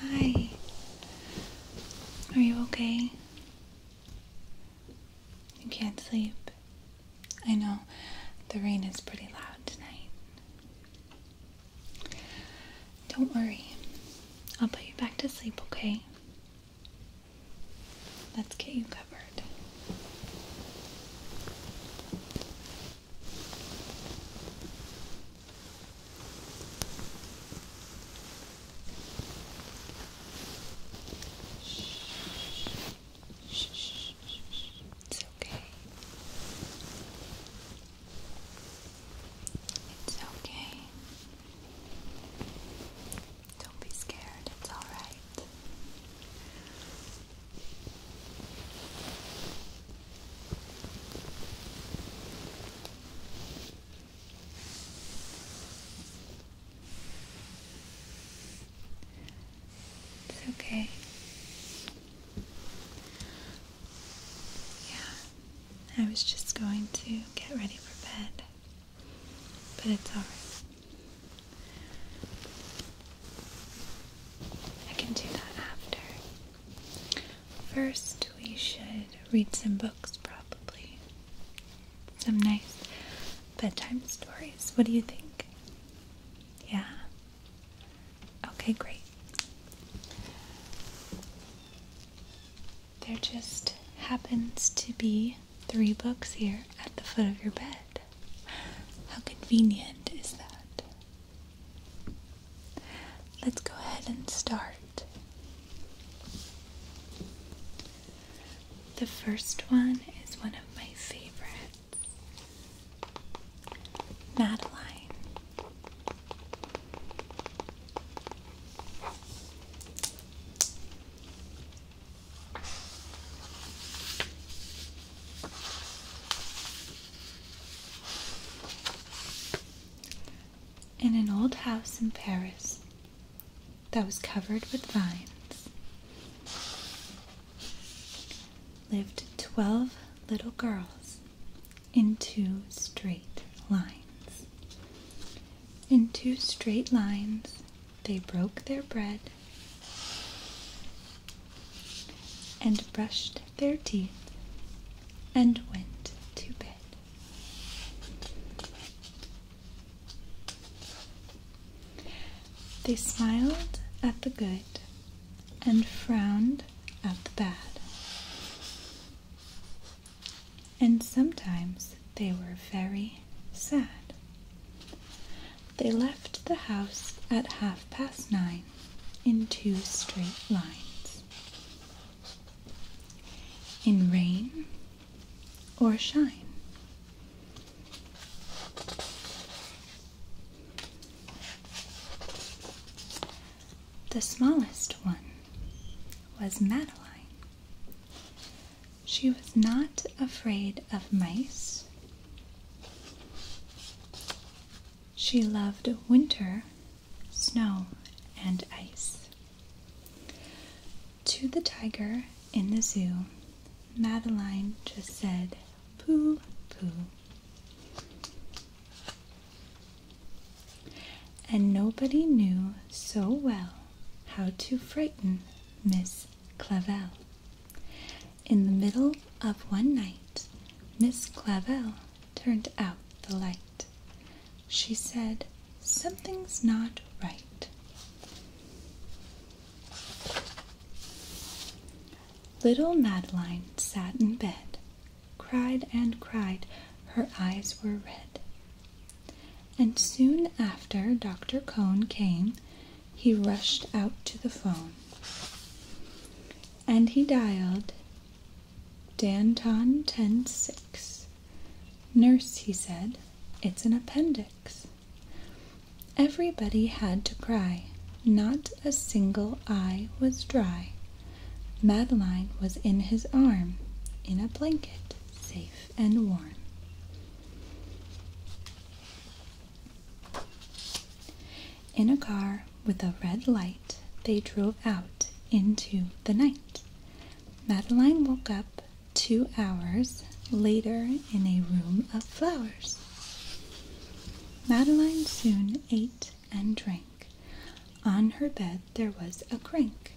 Hi. Are you okay? You can't sleep. I know the rain is pretty loud tonight. Don't worry. I'll put you back to sleep, okay? Let's get you covered. Shh, shh, shh, It's okay. It's okay. Don't be scared, it's alright. It's okay. Yeah, I was just going to get ready for bed, but it's alright. I can do that after. First, we should read some books, probably. Some nice bedtime stories. What do you think? Yeah? Okay, great. There just happens to be three books here at the foot of your bed. How convenient is that? Let's go ahead and start. The first one is one of my favorites Madeline. In an old house in Paris, that was covered with vines lived twelve little girls in two straight lines. In two straight lines, they broke their bread and brushed their teeth and went to bed. They smiled at the good and frowned at the bad. And sometimes they were very sad. They left the house at half past nine in two straight lines. In rain or shine. The smallest one was Madeline. She was not afraid of mice. She loved winter, snow, and ice. To the tiger in the zoo, Madeline just said, Pooh, pooh. And nobody knew so well how to frighten Miss Clavel. In the middle of one night, Miss Clavel turned out the light she said, Something's not right. Little Madeline sat in bed, cried and cried, her eyes were red. And soon after Dr. Cone came, he rushed out to the phone. And he dialed Danton 106 Nurse, he said, it's an appendix. Everybody had to cry. Not a single eye was dry. Madeline was in his arm, in a blanket, safe and warm. In a car with a red light, they drove out into the night. Madeline woke up two hours later in a room of flowers. Madeline soon ate and drank. On her bed there was a crank,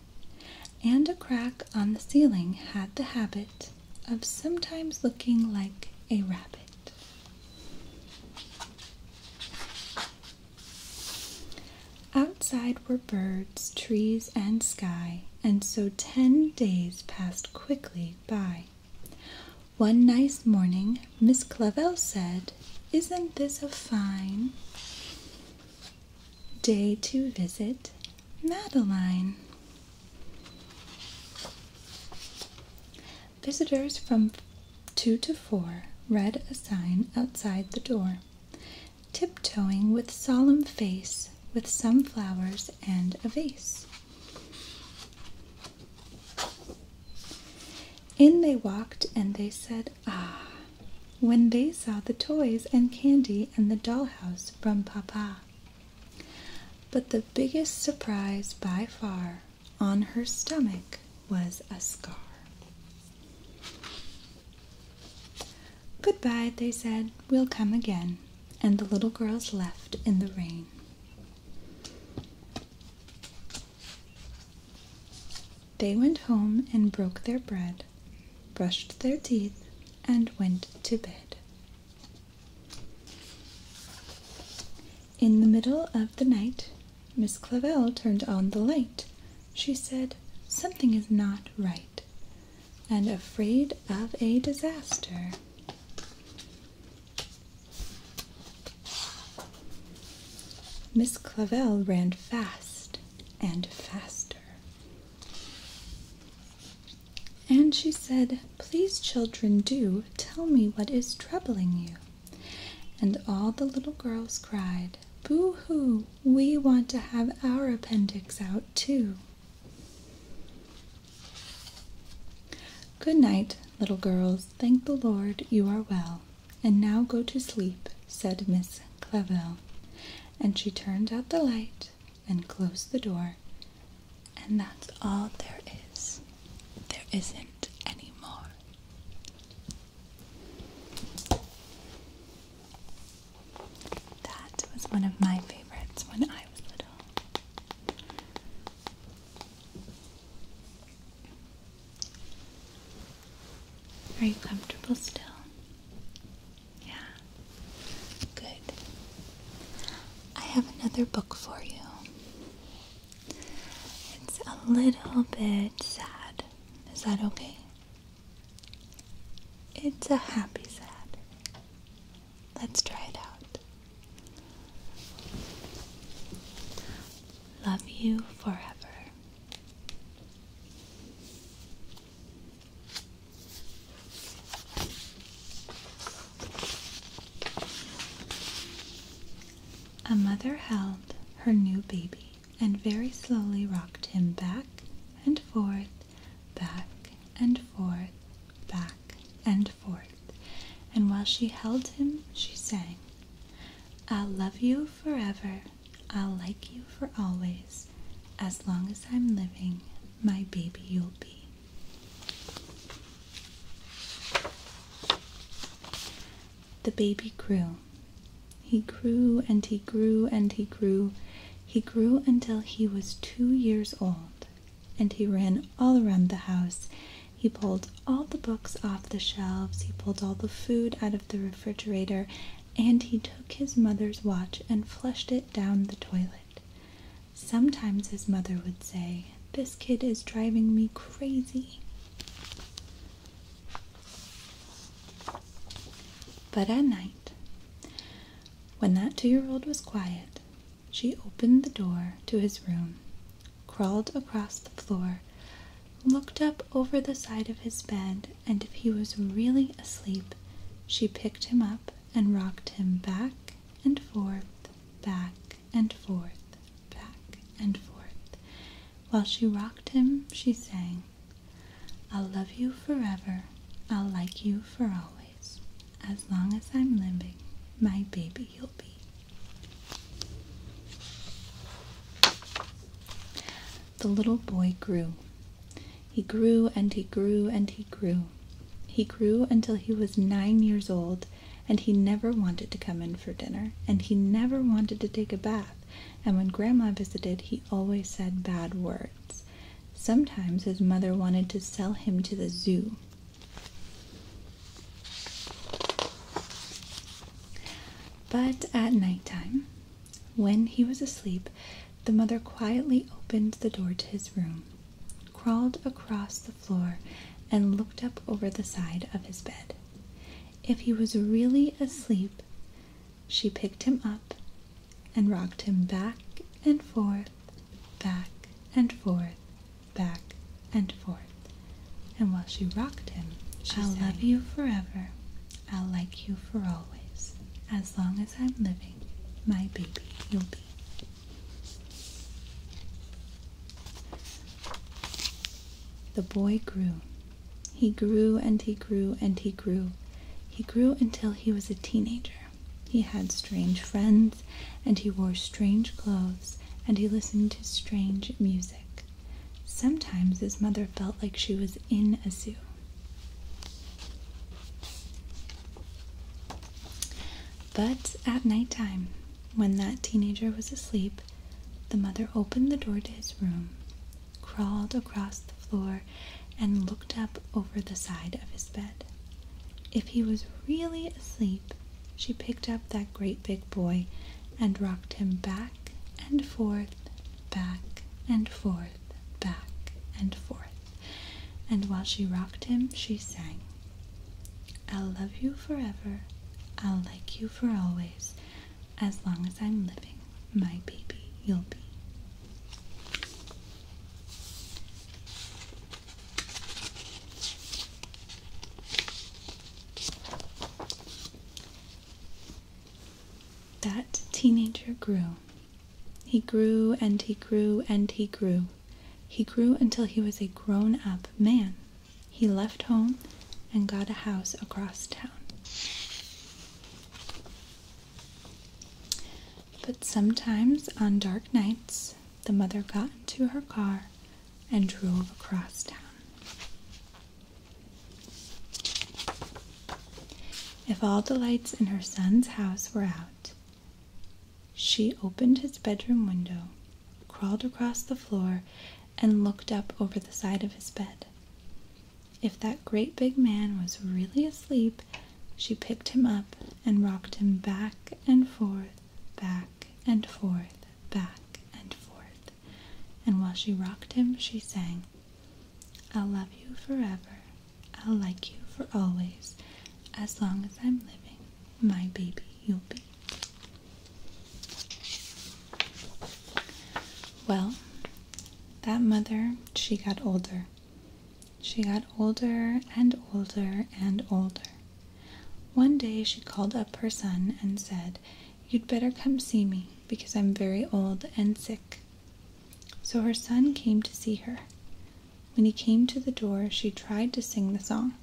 and a crack on the ceiling had the habit of sometimes looking like a rabbit. Outside were birds, trees, and sky, and so ten days passed quickly by. One nice morning, Miss Clavel said, Isn't this a fine day to visit Madeline? Visitors from two to four read a sign outside the door. Tip-toeing with solemn face with some flowers and a vase. In they walked, and they said, Ah! When they saw the toys and candy and the dollhouse from Papa. But the biggest surprise by far on her stomach was a scar. Goodbye, they said. We'll come again. And the little girls left in the rain. They went home and broke their bread, brushed their teeth, and went to bed. In the middle of the night, Miss Clavel turned on the light she said, Something is not right, and afraid of a disaster. Miss Clavel ran fast and faster. And she said, Please, children, do tell me what is troubling you. And all the little girls cried, Boo hoo, we want to have our appendix out too. Good night, little girls. Thank the Lord you are well. And now go to sleep, said Miss Clavel, And she turned out the light and closed the door. And that's all there is. There isn't any more. That was one of my favorites when I was little. Are you comfortable still? Yeah. Good. I have another book for you. It's a little bit sad. Is that okay? It's a happy sad. Let's try it out. Love you forever. A mother held her new baby and very slowly rocked him back and forth, back and forth, back and forth. And while she held him, she sang, I'll love you forever, I'll like you for always. As long as I'm living, my baby you'll be. The baby grew he grew and he grew and he grew. He grew until he was two years old, and he ran all around the house. He pulled all the books off the shelves, he pulled all the food out of the refrigerator, and he took his mother's watch and flushed it down the toilet. Sometimes his mother would say, This kid is driving me crazy. But at night, when that two year old was quiet, she opened the door to his room, crawled across the floor, looked up over the side of his bed, and if he was really asleep, she picked him up and rocked him back and forth, back and forth, back and forth, while she rocked him, she sang, I'll love you forever, I'll like you for always. As long as I'm living, my baby you'll be. The little boy grew. He grew and he grew and he grew. He grew until he was nine years old, and he never wanted to come in for dinner, and he never wanted to take a bath, and when Grandma visited, he always said bad words. Sometimes his mother wanted to sell him to the zoo. But at night time, when he was asleep, the mother quietly opened the door to his room, crawled across the floor, and looked up over the side of his bed if he was really asleep, she picked him up and rocked him back and forth, back and forth, back and forth. And while she rocked him, she I'll love you forever. I'll like you for always. As long as I'm living, my baby you'll be. The boy grew he grew and he grew and he grew. He grew until he was a teenager. He had strange friends, and he wore strange clothes, and he listened to strange music. Sometimes his mother felt like she was in a zoo. But at night when that teenager was asleep, the mother opened the door to his room, crawled across the floor, and looked up over the side of his bed. If he was really asleep, she picked up that great big boy and rocked him back and forth, back and forth, back and forth. And while she rocked him, she sang, I'll love you forever, I'll like you for always. As long as I'm living, my baby you'll be. That teenager grew. He grew and he grew and he grew. He grew until he was a grown up man he left home and got a house across town. But sometimes on dark nights, the mother got into her car and drove across town. If all the lights in her son's house were out, she opened his bedroom window crawled across the floor, and looked up over the side of his bed. If that great big man was really asleep, she picked him up and rocked him back and forth, back and forth, back and forth. And while she rocked him, she sang, I'll love you forever. I'll like you for always. As long as I'm living, my baby you'll be. Well, that mother, she got older. She got older and older and older. One day she called up her son and said, You'd better come see me because I'm very old and sick. So her son came to see her. When he came to the door, she tried to sing the song.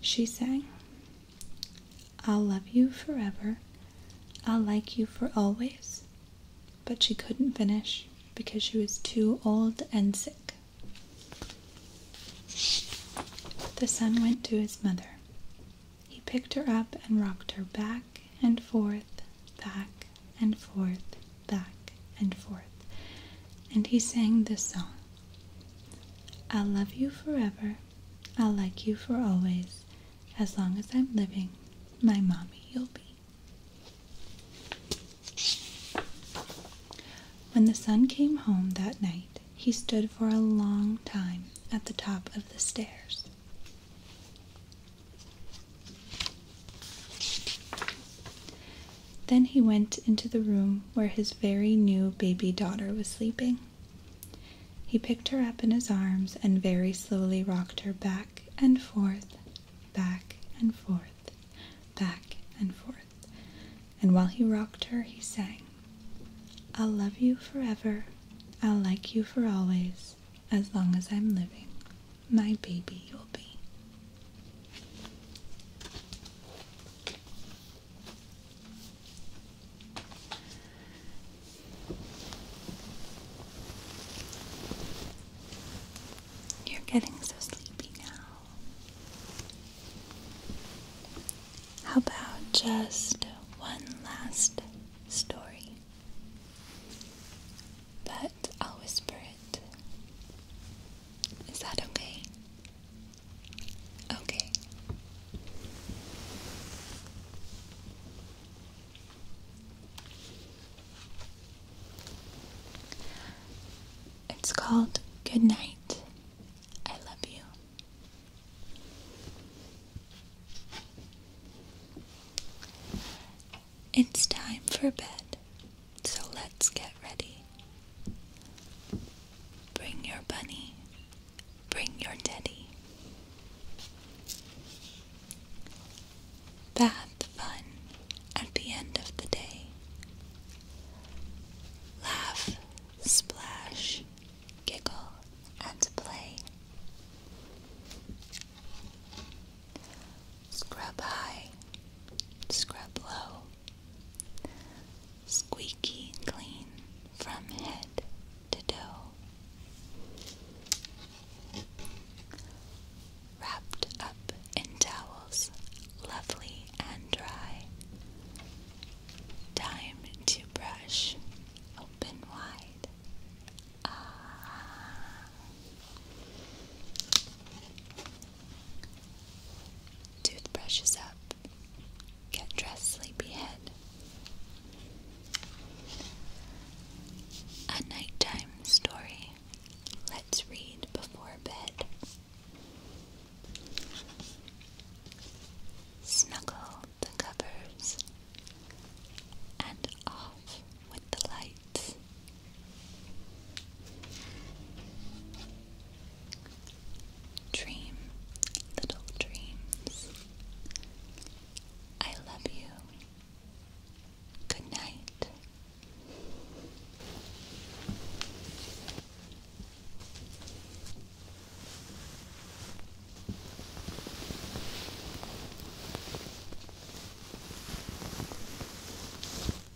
She sang, I'll love you forever. I'll like you for always. But she couldn't finish because she was too old and sick. The son went to his mother. He picked her up and rocked her back and forth, back and forth, back and forth. And he sang this song I'll love you forever. I'll like you for always. As long as I'm living, my mommy you'll be. When the son came home that night, he stood for a long time at the top of the stairs. Then he went into the room where his very new baby daughter was sleeping. He picked her up in his arms and very slowly rocked her back and forth, back and forth, back and forth. And while he rocked her, he sang, I'll love you forever, I'll like you for always, as long as I'm living. My baby you'll be. You're getting so sleepy now. How about just one last story? But I'll whisper it. Is that okay? Okay. It's called Good Night. I love you. It's time for bed. So let's get ready. Bring your bunny. Bring your teddy. Bath fun at the end of the day. Laugh, splash, giggle, and play. Scrub high, scrub low squeaky clean from head to toe. Wrapped up in towels, lovely and dry. Time to brush open wide. Ah. Toothbrushes up. Get dressed, sleepyhead. A nighttime story. Let's read before bed. Snuggle the covers and off with the lights. Dream little dreams. I love you. Good night.